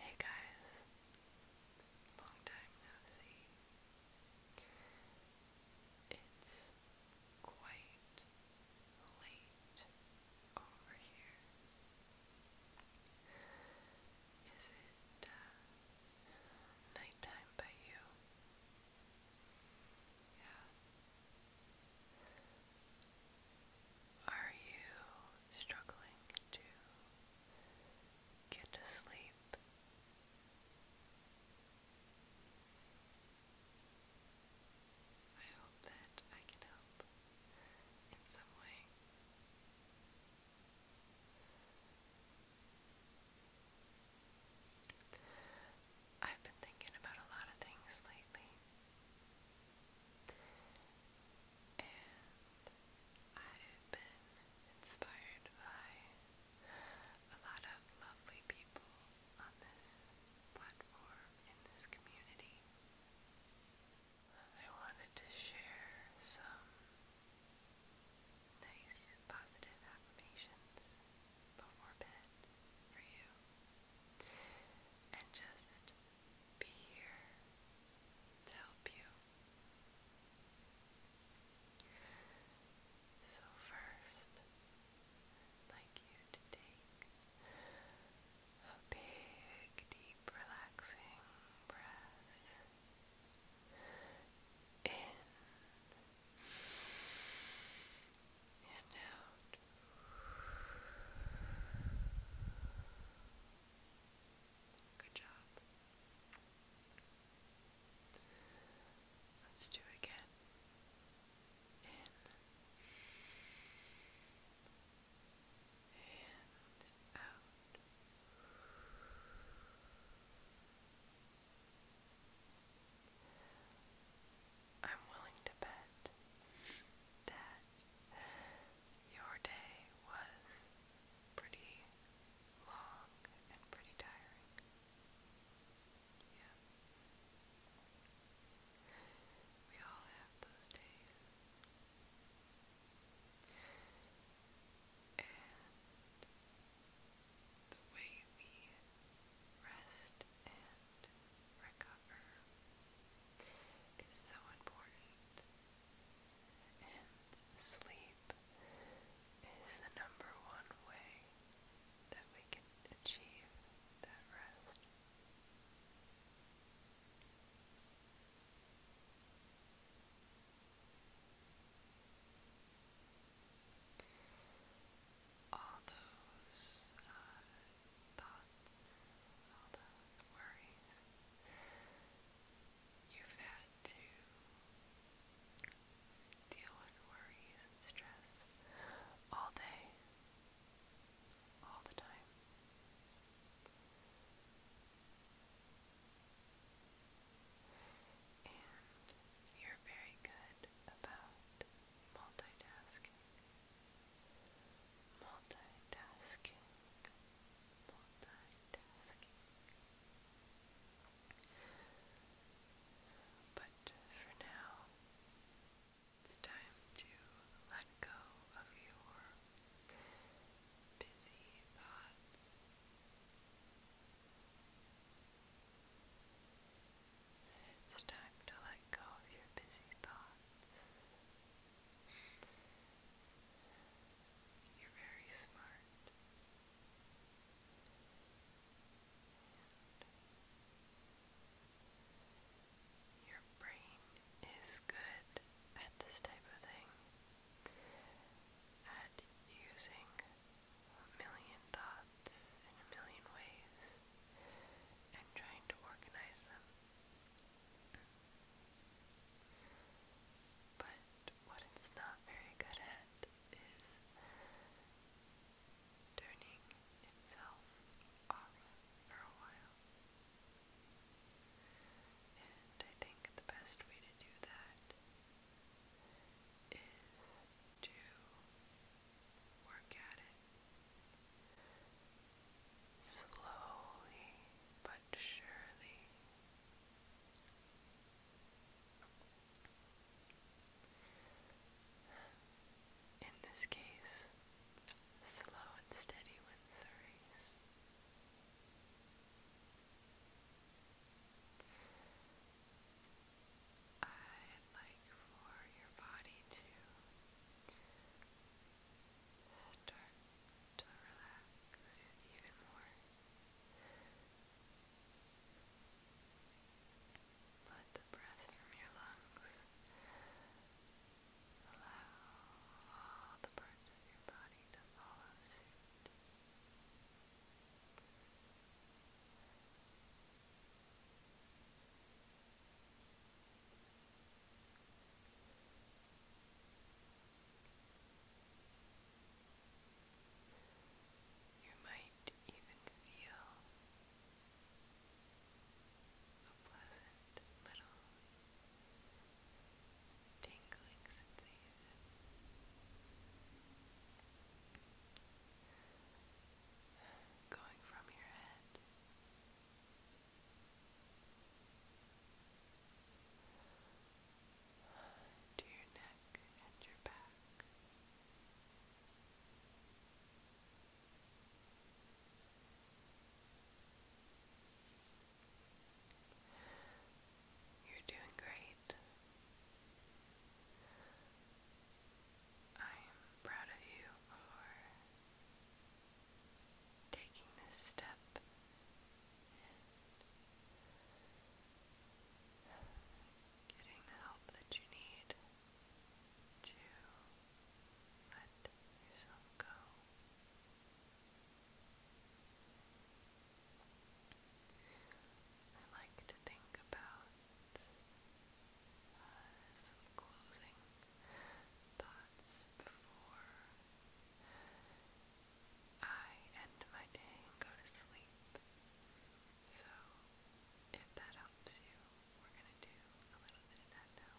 Hey guys, long time no see. It's quite late over here. Is it uh, nighttime by you? Yeah. Are you struggling to get to sleep? I hope that I can help in some way. I've been thinking about a lot of things lately and I've been inspired by a lot of lovely people on this platform in this community. I wanted to share some nice positive affirmations before bed for you and just be here to help you. So, 1st like you to take a big, deep, relaxing breath in and out. Good job. Let's do it again. In and out. I'm willing to bet that your day was pretty long and pretty tiring. Yeah. We all have those days. And the way we rest and and recover is so important. And sleep is the number one way that we can achieve that rest. All those uh, thoughts, all the worries you've had to deal with worries and stress all day, all the time. And you're very good about multitasking multitasking, multitasking. But for now, it's time to let go of your busy thoughts. It's time to let go of your busy thoughts. You're very smart. your brain is good at this type of thing, at using a million thoughts in a million ways and trying to organize them but what it's not very good at is turning itself off for a while. And I think the best way to do that is to work at it slowly but surely. In this case, slow and steady wins the race. i like for your body to start to relax even more. Let the breath from your lungs allow all the parts of your body to follow suit. You might even feel a pleasant little tingling sensation. Going from your head to your neck and your back. You're doing great. I'm proud of you for taking this step getting the help that you need to let yourself go. I like to think about uh, some closing thoughts before I end my day and go to sleep. So, if that helps you, we're going to do a little bit of that now.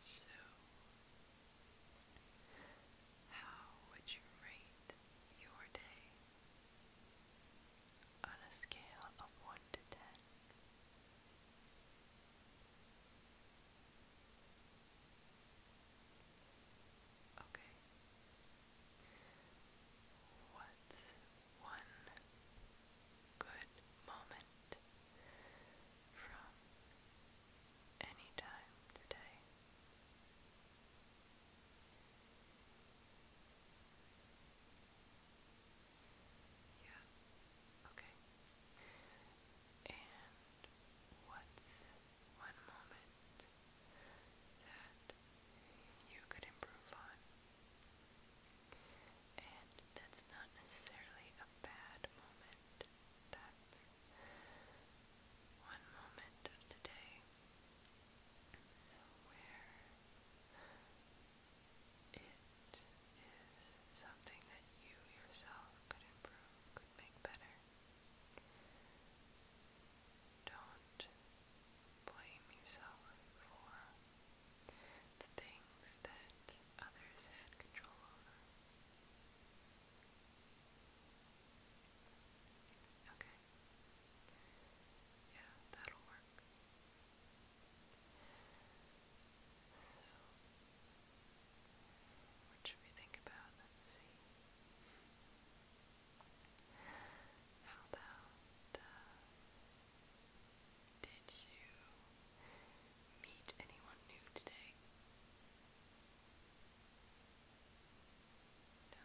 So, how would you rate your day? on a scale of 1 to 10. Okay. What's one good moment from any time today? Yeah. Okay. And what's one moment that you could improve on? And that's not necessarily a bad moment. That's one moment of today where it is something that you yourself could improve, could make better. Don't blame yourself for the things that others had control over. Okay. Yeah, that'll work. So, what should we think about? Let's see. How about, uh, did you meet anyone new today? No?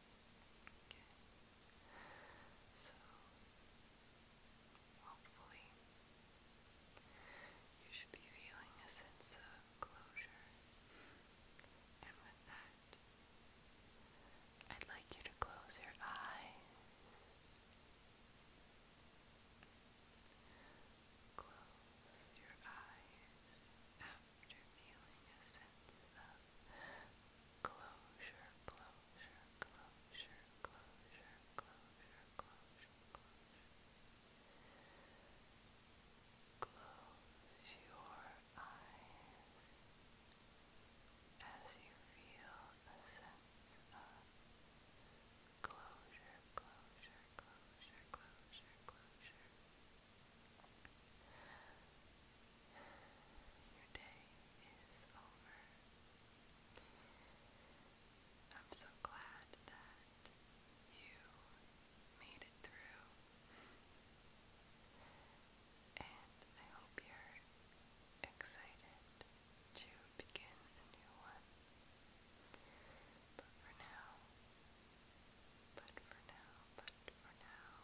So hopefully you should be feeling a sense of closure. And with that, I'd like you to close your eyes. Close your eyes after feeling a sense of Close your eyes as you feel a your day is over. I'm so glad that you made it through. And I hope you're excited to begin a new one. But for now, but for now, but for now,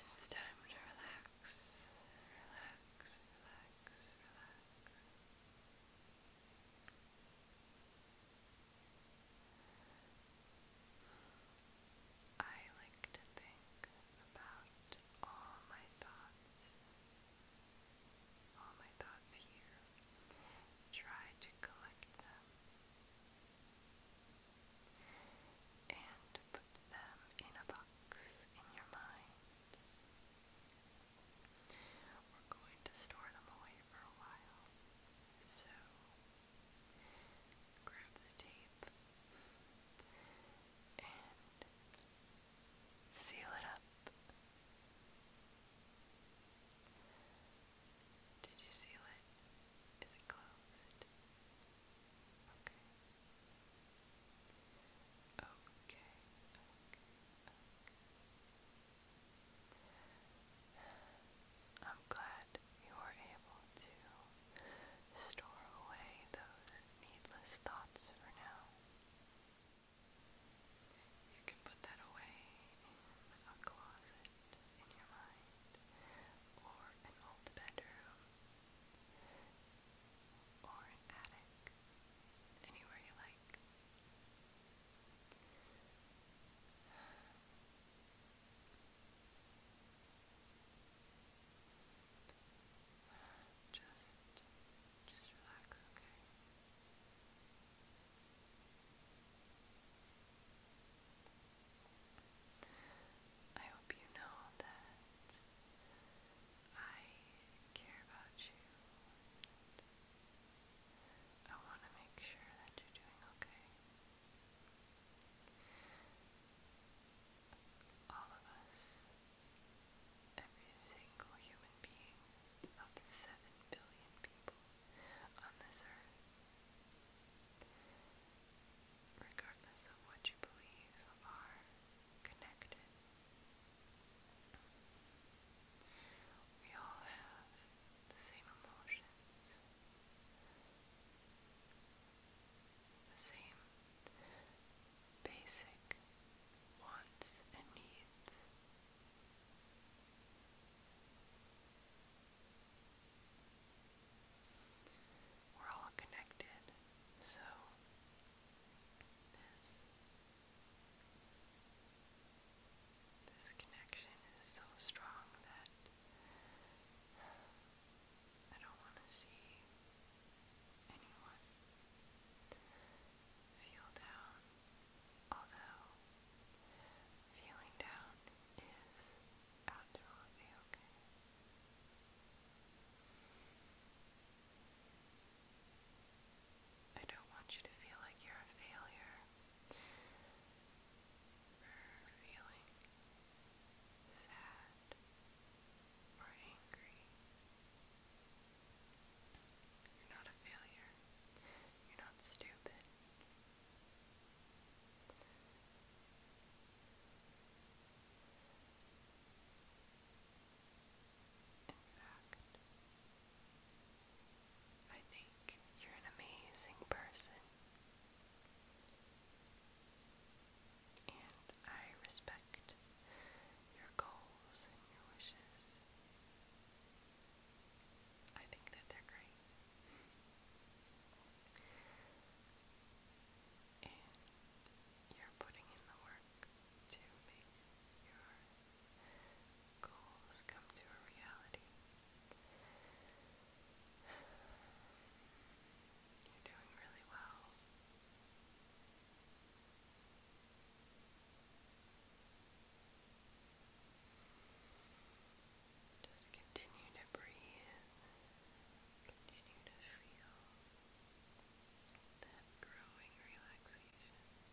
it's time to relax, relax, relax, relax. I like to think about all my thoughts, all my thoughts here, try to collect them and put them in a box in your mind. We're going to store them away for a while. So, grab the tape and seal it up. Did you seal it? Is it closed? Okay. Okay, okay, I'm glad you were able to store away those needless thoughts for now. You can put that away in a closet in your mind, or an old bedroom, or an attic, anywhere you like. Just, just relax, okay? I hope you know that I care about you. I want to make sure that you're doing okay. All of us, every single human being of 7 billion people on this earth, regardless of what you believe, are connected. We all have the same emotions, the same basic wants and needs. We're all connected, so this connection is so strong that I don't want to see anyone feel down, although feeling down is absolutely okay. I don't want you to feel like you're a failure or feeling sad or angry. You're not a failure. You're not stupid. In I think you're an amazing person. And I respect your goals and your wishes. I think that they're great. you're putting in the work to make your goals come to a reality. You're doing really well. Just continue to breathe. Continue to feel that growing relaxation.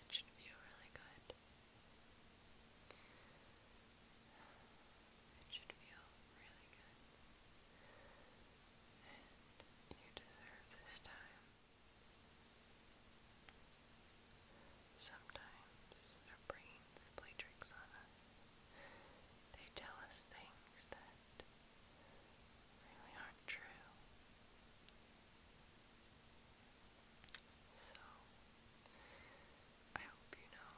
It should feel really good. It should feel really good you deserve this time. Sometimes our brains play tricks on us. They tell us things that really aren't true. So, I hope you know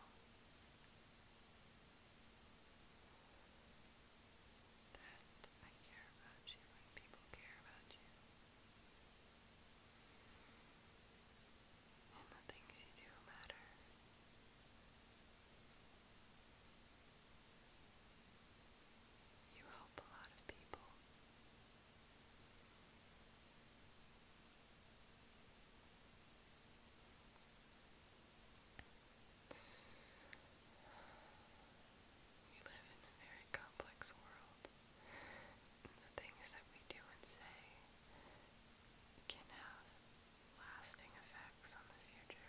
that I care about you people care about you and the things you do matter. You help a lot of people. We live in a very complex world. the things that we do and say can have lasting effects on the future.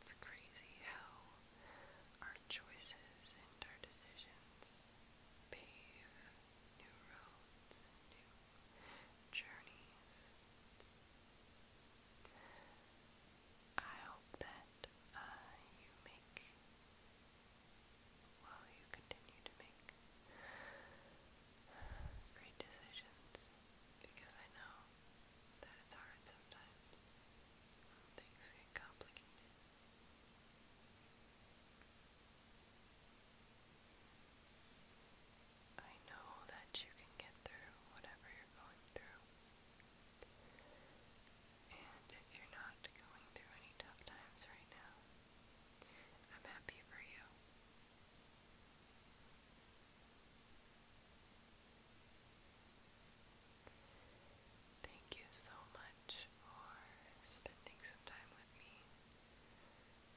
It's crazy how our choices and our decisions pave new roads journeys. I hope that uh, you make, well, you continue to make great decisions because I know that it's hard sometimes. Things get complicated. I know that you can get through whatever you're going through. And if you're not going through any tough times right now, I'm happy for you. Thank you so much for spending some time with me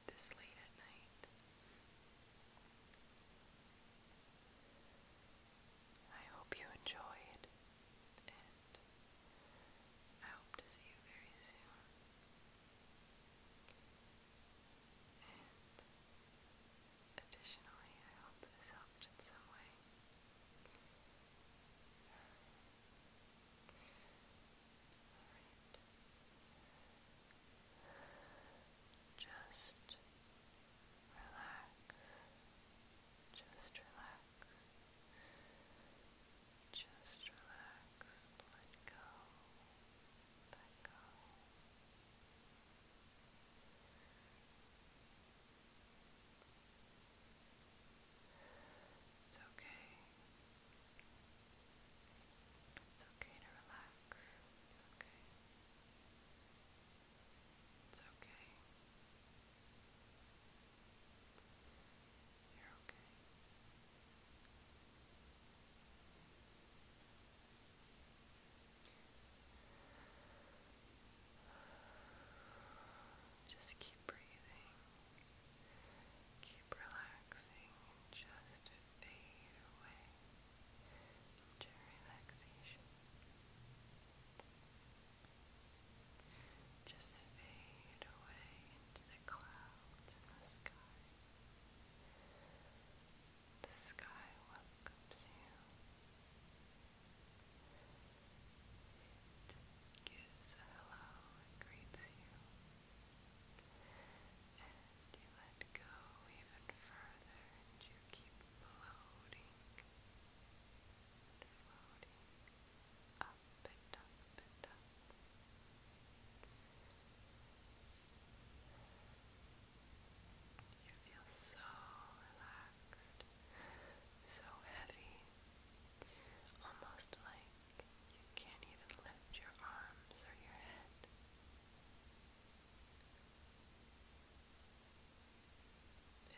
this late at night. I hope you enjoyed, and I hope to see you very soon. And additionally, I hope this helped in some way. Just relax. Just relax. Just relax. Let go. Let go. It's okay. It's okay to relax. It's okay. It's okay. you Just keep breathing. Keep relaxing just fade away into relaxation. Just fade away into the clouds in the sky. The sky welcomes you. It gives a hello and greets you. And you let go even further and you keep floating floating up up up. You feel so relaxed, so heavy, almost like you can't even lift your arms or your head.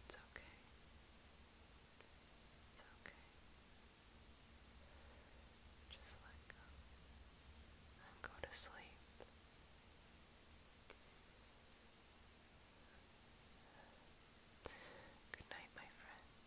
It's okay. It's okay. Just let go go to sleep. Good night, my friend.